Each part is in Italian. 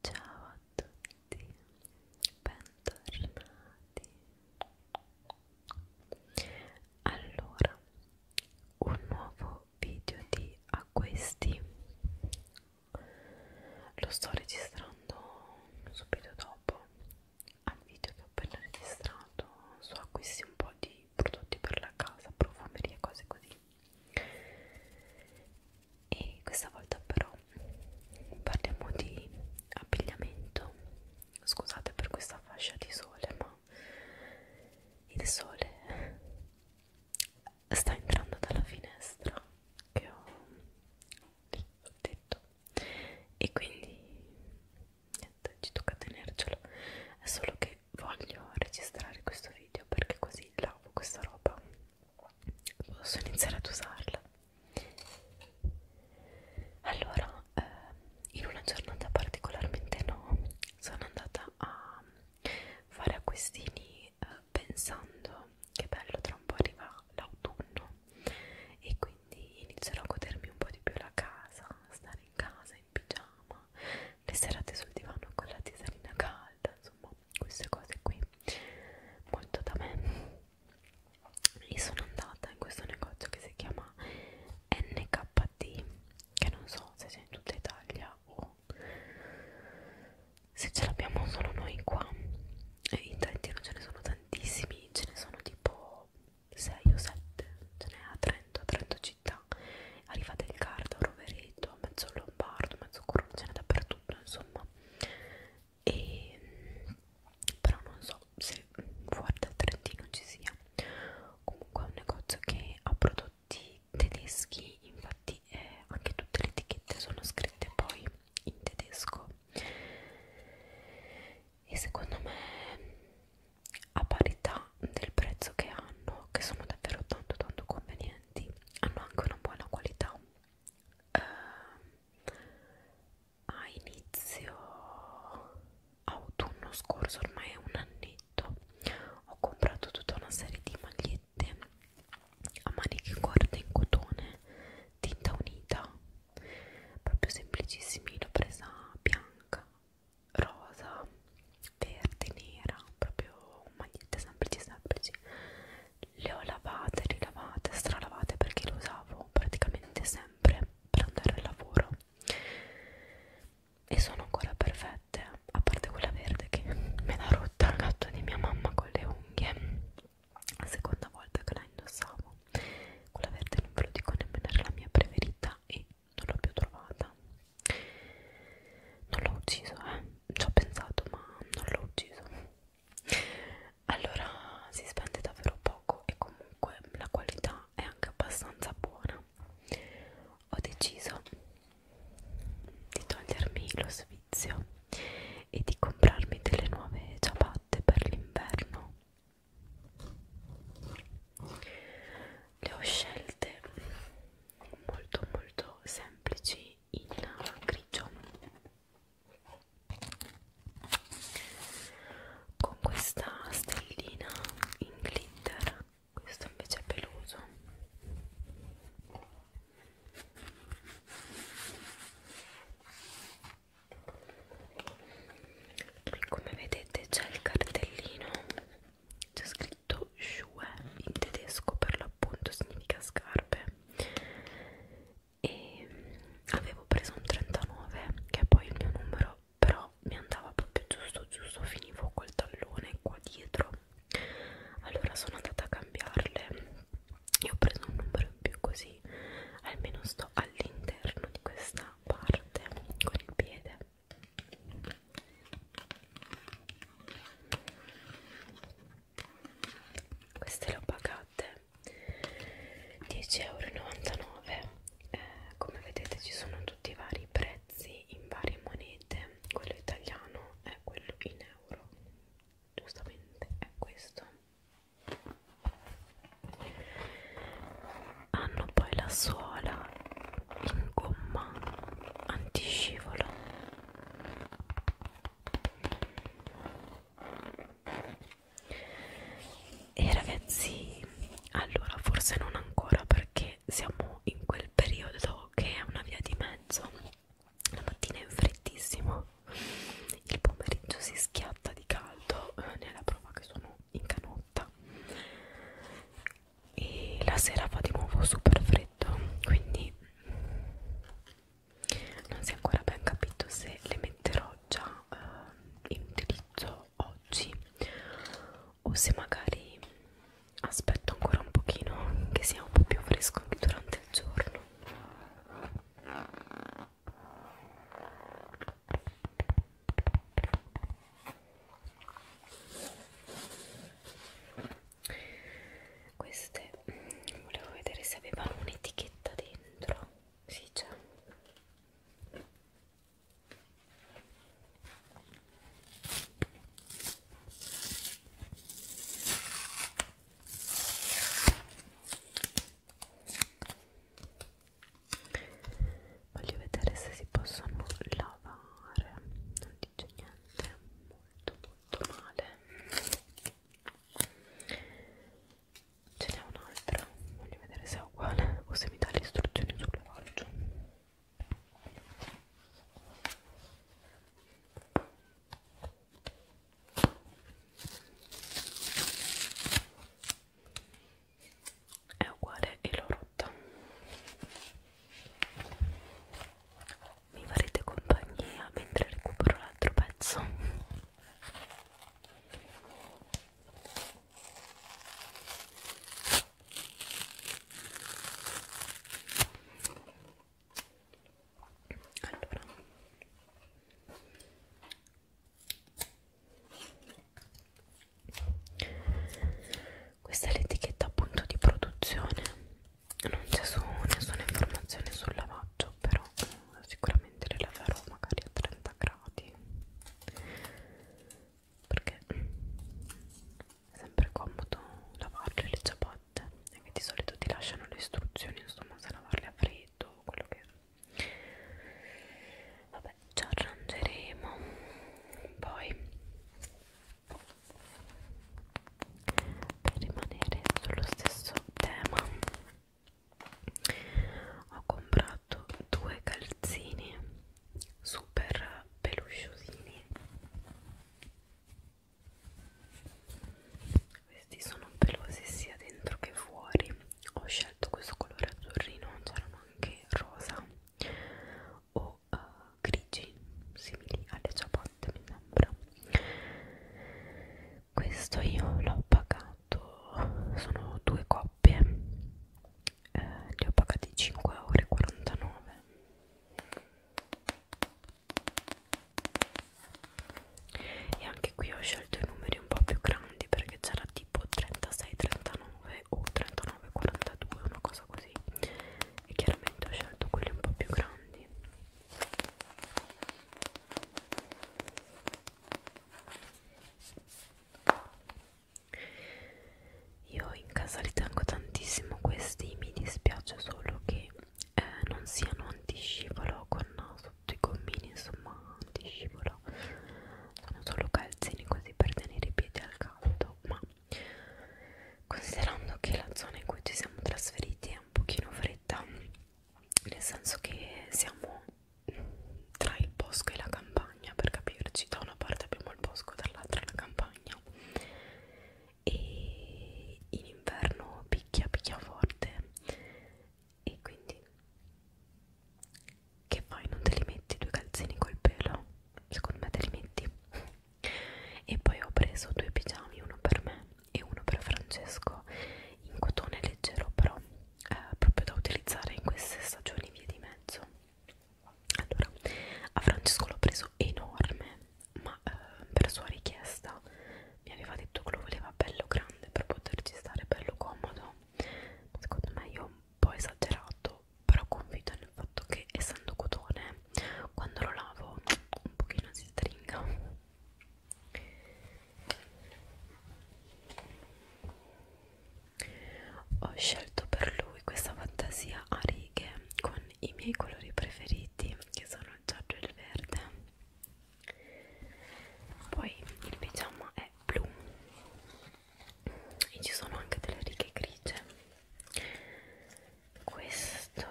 Ciao a tutti, bentornati. Allora, un nuovo video di a questi lo sto registrando subito dopo al video che ho appena registrato. So acquisti un po' di prodotti per la casa, profumerie, cose così e questa volta però parliamo di abbigliamento scusate per questa fascia di sole ma il sole sta entrando dalla finestra che ho lì sul tetto e quindi niente ci tocca tenercelo è solo che voglio registrare questo video perché così lavo questa roba posso iniziare ad usarla allora eh, in una giornata particolarmente no sono andata a fare acquistini eh, pensando che bello tra un po' arriva l'autunno e quindi inizierò a godermi un po' di più la casa stare in casa in pigiama le serate sul divano con la tisanina calda insomma queste cose qui molto da me e sono andata in questo negozio che si chiama NKT che non so se c'è in tutta Italia o se ce l'abbiamo solo noi qua e in Trentino ce ne sono tantissimi ce ne sono tipo 6 o 7 ce n'è a Trento, a Trento città arrivate il Garda, Rovereto, mezzo Lombardo, mezzo Curone ce n'è dappertutto futuro insomma e però non so se fuori dal Trentino ci sia comunque è un negozio che ha prodotti tedeschi infatti eh, anche tutte le etichette sono scritte poi in tedesco e secondo me a parità del prezzo che hanno che sono davvero tanto tanto convenienti nutrienti, hanno anche una buona qualità. Uh, a inizio autunno scorso, ormai è un annetto, ho comprato tutta una serie di magliette a maniche corte in cotone, tinta unita, proprio semplicissimi, l'ho presa bianca rosa, verde, nera, proprio magliette semplici semplici le ho lavate, rilavate, stralavate perché le usavo praticamente sempre per andare al lavoro e sono ancora perfette a parte quella verde che me l'ha rotta il gatto di mia mamma con le unghie la seconda volta che la indossavo quella verde non ve lo dico nemmeno era la mia preferita e non l'ho più trovata non l'ho ucciso eh ci ho pensato ma non l'ho ucciso allora si spende davvero poco e comunque la qualità è anche abbastanza buona ho deciso di togliermi lo svizio e di comprarmi delle nuove ciabatte per l'inverno le ho scelte molto molto semplici in grigio con questa stellina in glitter questo invece è peloso e come vedete c'è il cartellino c'è scritto detto Schuhe in tedesco per l'appunto significa scarpe e mm, avevo preso un 39 che è poi il mio numero però mi andava proprio giusto giusto finivo col tallone qua dietro allora sono andata a cambiarle e ho preso un numero in più così almeno sto all'interno di questa parte con il piede queste le ho pagate 10,99 euro eh, come vedete ci sono tutti i vari prezzi in varie monete quello italiano è quello in euro giustamente è questo hanno poi la suola in gomma antiscivolo e ragazzi allora forse non ancora perché siamo in quel periodo che è una via di mezzo la mattina è freddissimo il pomeriggio si schiatta di caldo eh, nella prova che sono in canotta e la sera fa di nuovo super freddo detto quindi non si è ancora ben capito se le metterò già eh, in utilizzo oggi o se magari aspetto ancora un pochino che sia un po' più fresco anche durante il giorno queste mm, volevo vedere se avevano un'etichetta dentro sì c'è Voglio vedere se si possono lavare, non dice niente molto tutto male ce n'è un'altra voglio vedere se è uguale o se mi dà le istruzioni sulle faccio è uguale e l'ho rotta mi farete compagnia mentre recupero l'altro pezzo allora questa è l'etichetta appunto di produzione non c'è su nessuna informazione sul lavaggio però sicuramente le laverò magari a 30 gradi perché è sempre comodo lavarle le ciabatte e di solito ti lasciano le istruzioni insomma se lavarle a freddo o quello che vabbè ci arrangeremo poi per rimanere sullo stesso tema ho comprato due calzini super pelusciosini questi sono pelosi sia dentro che fuori ho scelto questo colore azzurrino c'erano anche rosa o uh, grigi simili alle ciabatte mi sembra questo io l'ho pagato sono due coppie eh, li ho pagati 5,49 euro e anche qui ho scelto i numeri un po' più grandi perché c'era tipo 36,39 o 39,42 una cosa così e chiaramente ho scelto quelli un po' più grandi io in casa li tengo tantissimo questi, mi dispiace solo che eh, non siano antiscivolo con sotto i gommini, insomma antiscivolo, sono solo calzini così per tenere i piedi al caldo, ma considerando che la zona in cui ci siamo trasferiti è un pochino fredda nel senso che siamo tra il bosco e la campagna per capirci da una parte abbiamo il bosco dall'altra la campagna e in inverno picchia picchia forte e quindi che fai non te li metti due calzini col pelo secondo me te li metti e poi ho preso due pigiami uno per me e uno per Francesco in cotone leggero però eh, proprio da utilizzare in queste stagioni via di mezzo allora a Francesco l'ho preso enorme ma eh, per sua richiesta mi aveva detto che lo voleva bello grande per poterci stare bello comodo secondo me io ho un po' esagerato però confido nel fatto che essendo cotone quando lo lavo un pochino si stringa ho scelto per lui questa fantasia a righe con i miei colori preferiti che sono il giallo e il verde poi il pigiama è blu e ci sono anche delle righe grigie questo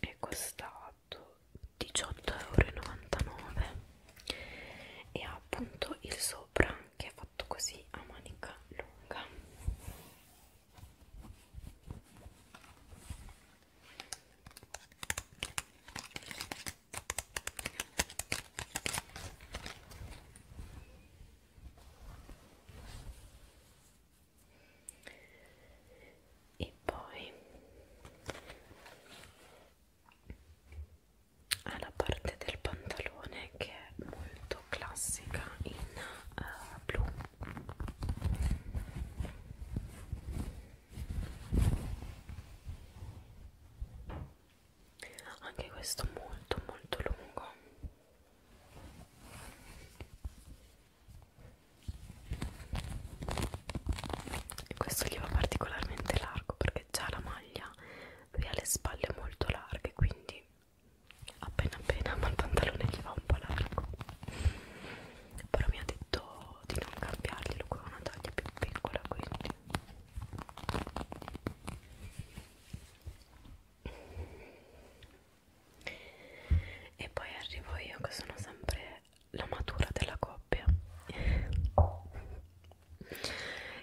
è costato 18,99 e ha appunto il sopra che è fatto così a manica lunga e poi ha la parte del pantalone che è molto classica in uh, blu anche questo molto molto lungo e questo gli va particolarmente largo perché già la maglia lui ha le spalle molto larghe quindi appena appena ma il pantalone gli va un po' largo però mi ha detto di non cambiarglielo con una taglia più piccola quindi e poi arrivo io che sono sempre la matura della coppia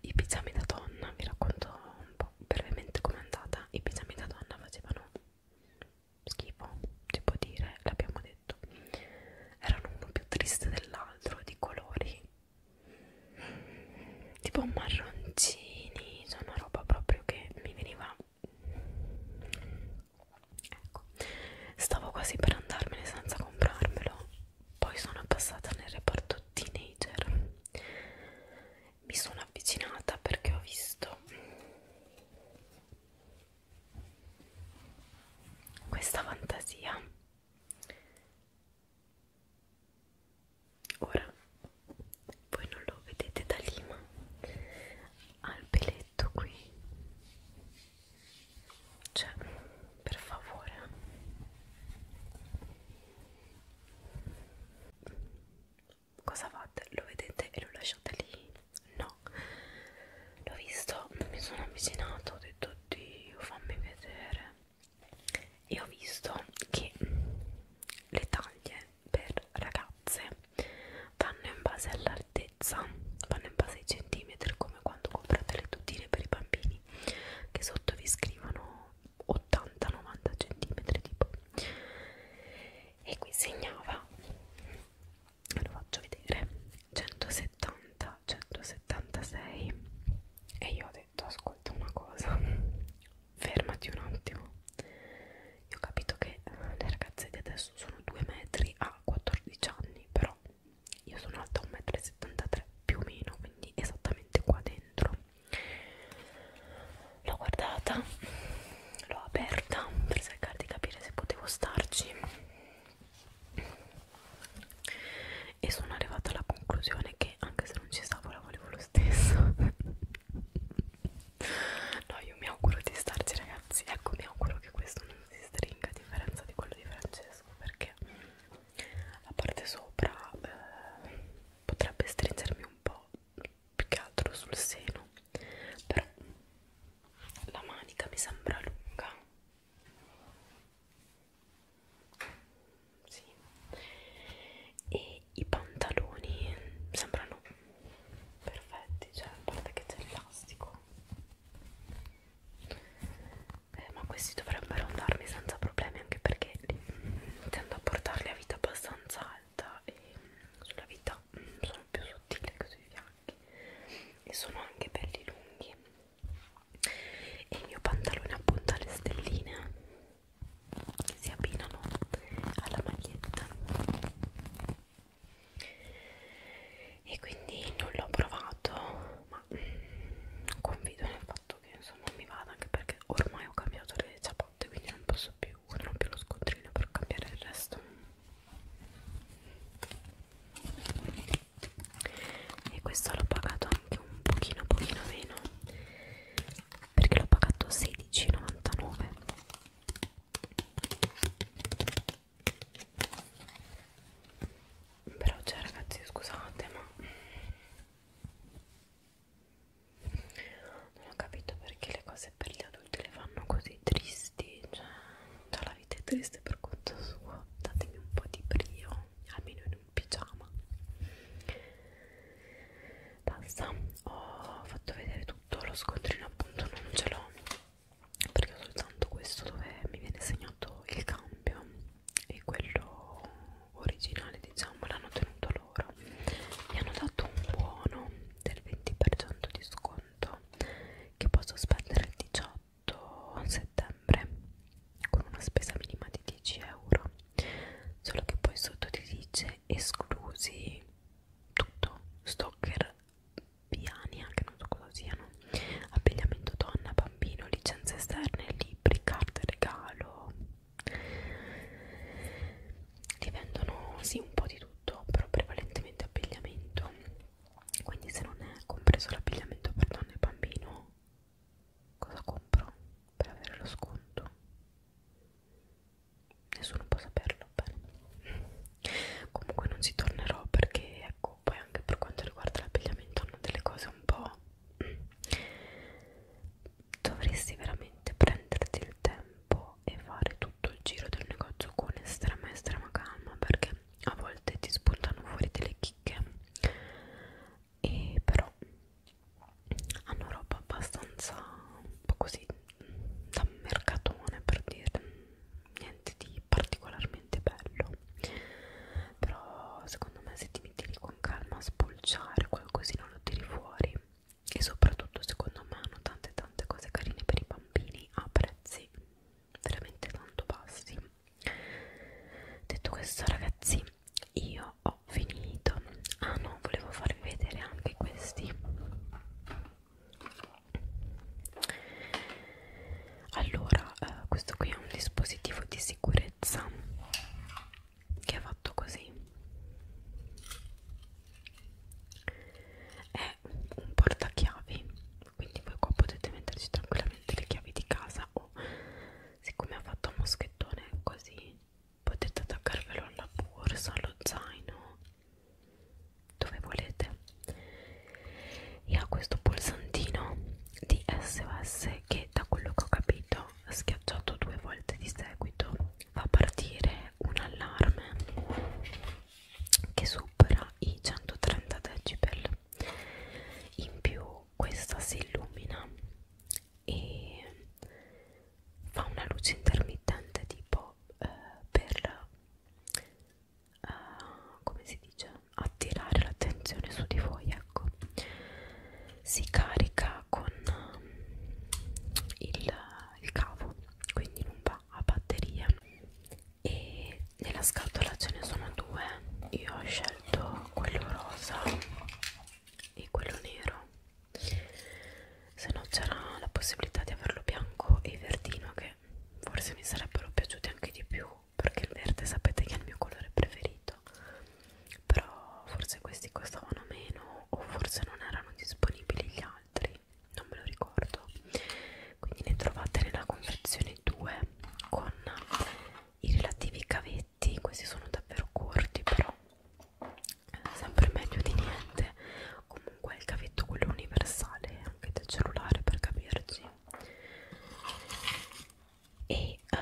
i pigiami da donna vi racconto un po' brevemente com'è andata i pigiami da donna facevano schifo si può dire l'abbiamo detto erano uno più triste dell'altro di colori tipo marroncini cioè una roba proprio che mi veniva ecco stavo quasi per andarmene senza comprarmelo poi sono passata nel reparto teenager mi sono avvicinata perché ho visto questa fantasia ora voi non lo vedete da lì ma ha il peletto qui cioè per favore eh. cosa fate? lo vedete e lo lasciate lì? no l'ho visto mi sono avvicinato ho detto oddio fammi vedere e ho visto che le taglie per ragazze vanno in base all'altezza, vanno in base ai centimetri, come quando comprate le tutine per i bambini, che sotto vi scrivono 80-90 centimetri tipo. E qui segnava, lo faccio vedere, 170, 176 e io ho detto ascolta una cosa fermati un attimo io ho capito che eh, le ragazze di adesso sono 2 metri a 14 anni però io sono alta 1,73 m più o meno quindi esattamente qua dentro l'ho guardata l'ho aperta per cercare di capire se potevo starci e sono arrivata alla conclusione che anche se non ci stavo la volevo lo stesso no io mi auguro di starci ragazzi ecco mi auguro che questo non si stringa a differenza di quello di Francesco perché la parte sopra eh, potrebbe stringermi un po' più che altro sul seno però la manica mi sembra lunga sì e i pantaloni sembrano perfetti, cioè a parte che c'è l'elastico eh, ma questi dovrebbero andarmi senza problemi anche perché tendo a portarli a vita abbastanza alta e sulla vita sono più sottile che sui fianchi e sono anche belli lunghi e il mio pantalone appunto alle stelline che si abbinano alla maglietta e quindi non l'ho provato ma confido nel fatto che insomma mi vada anche perché ormai ho cambiato le ciabatte quindi non posso più non ho più lo scontrino per cambiare il resto e questo l'ho pagato anche un pochino pochino meno perché l'ho pagato 16,99 però cioè ragazzi scusate ma non ho capito perché le cose per gli adulti le fanno così tristi cioè, cioè la vita è triste per conto suo datemi un po' di brio almeno in un pigiama basta ho fatto vedere tutto lo scontrino appunto non ce l'ho perché ho soltanto questo dove mi viene segnato il cambio e quello originale diciamo l'hanno tenuto loro mi hanno dato un buono del 20% di sconto che posso spendere il 18 settembre con una spesa minima di 10 euro solo che poi sotto ti dice esclusi tutto stalker piani anche non so cosa siano abbigliamento donna bambino licenze esterne libri carte regalo li vendono sì un po' di tutto però prevalentemente abbigliamento quindi se non è compreso l'abbigliamento per donna e bambino cosa compro per avere lo sconto nessuno può saperlo bene comunque non ci tornerò perché ecco poi anche per quanto riguarda l'abbigliamento hanno delle cose un po' mm. dovresti veramente prenderti il tempo e fare tutto il giro del negozio con estrema estrema calma perché a volte ti spuntano fuori delle chicche e però hanno roba abbastanza un po' così da mercatone per dire niente di particolarmente bello però secondo me se ti metti lì con calma a spulciare qualcosina lo tiri fuori e soprattutto secondo me hanno tante tante cose carine per i bambini a prezzi veramente tanto bassi detto questo ragazzi io ho finito ah no volevo farvi vedere anche questi allora eh, questo qui è un dispositivo di sicurezza che è fatto così è un portachiavi quindi voi qua potete metterci tranquillamente le chiavi di casa o siccome ha fatto un moschettone così potete attaccarvelo alla borsa, allo zaino dove volete e ha questo pulsantino di SOS che da quello che ho capito schiacciato due volte di seguito fa partire un allarme che supera i 130 decibel in più questa si illumina e fa una luce intermittente tipo eh, per eh, come si dice attirare l'attenzione su di voi ecco si carica con eh, il, il cavo quindi non va a batteria e nella scatola ce ne sono due io ho scelto quello rosa e quello nero se no c'era la possibilità di averlo bianco e verdino che forse mi sarebbero piaciuti anche di più perché il verde sapete che è il mio colore preferito però forse questi costavano meno o forse non erano disponibili gli altri non me lo ricordo quindi ne trovate nella confezione 2 con i relativi cavetti questi sono davvero corti però sempre meglio di niente comunque il cavetto quello universale anche del cellulare per capirci e uh,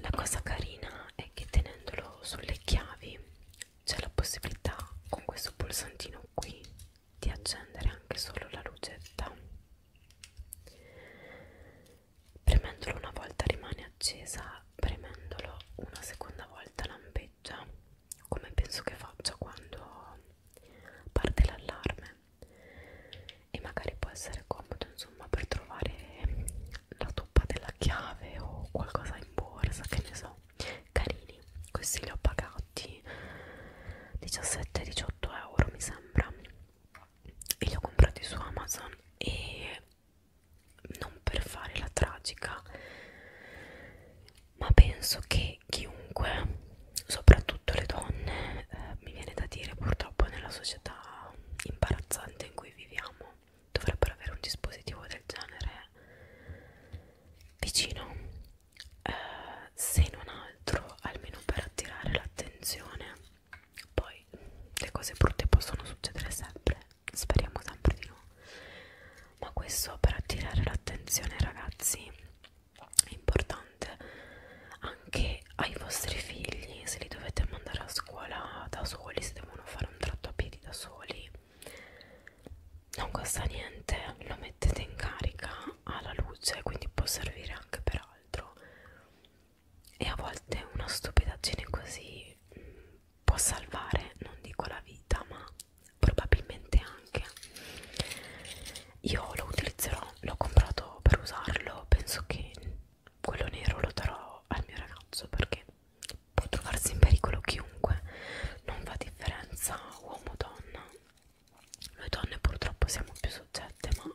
la cosa carina è che tenendolo sulle chiavi c'è la possibilità con questo pulsantino qui di accendere anche solo la lucetta premendolo una volta rimane accesa premendolo una seconda volta lampeggia come penso che faccia quando parte l'allarme e magari può essere comodo insomma per trovare la toppa della chiave o qualcosa in borsa che ne so carini questi li ho pagati 17-18 euro mi sembra e li ho comprati su Amazon e non per fare la tragica ma penso che chiunque, soprattutto le donne, eh, mi viene da dire purtroppo nella società imbarazzante in cui viviamo, dovrebbero avere un dispositivo del genere vicino, eh, se non altro almeno per attirare l'attenzione. Poi le cose brutte possono succedere sempre, speriamo sempre di no ma questo per attirare l'attenzione ragazzi è importante anche ai vostri figli se li dovete mandare a scuola da soli se devono fare un tratto a piedi da soli non costa niente lo mettete in carica alla luce quindi può servire anche per altro e a volte una stupidaggine così può salvare, non dico la vita, ma probabilmente anche. Io lo utilizzerò, l'ho comprato per usarlo, penso che quello nero lo darò al mio ragazzo perché può trovarsi in pericolo chiunque, non fa differenza uomo o donna. Noi donne purtroppo siamo più soggette, ma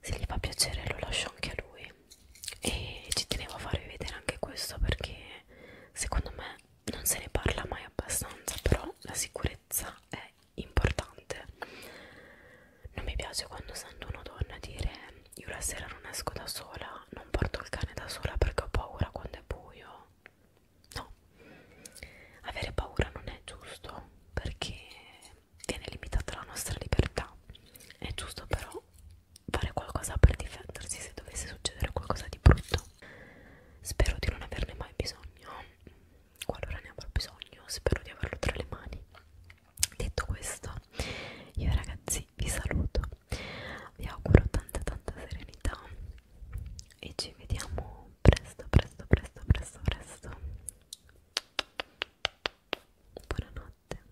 se gli fa piacere lo lascio anche a lui. E ci tenevo a farvi vedere anche questo perché secondo me non se ne parla mai abbastanza, però la sicurezza è importante. Non mi piace quando sento una donna dire io la sera non esco da sola, non porto il cane da sola perché ho paura quando è buio. No, avere paura non è giusto perché viene limitata la nostra libertà. È giusto però fare qualcosa per difendersi se dovesse succedere qualcosa di brutto spero di non averne mai bisogno qualora ne avrò bisogno spero di averlo tra le mani detto questo io ragazzi vi saluto vi auguro tanta tanta serenità e ci vediamo presto presto presto presto presto buonanotte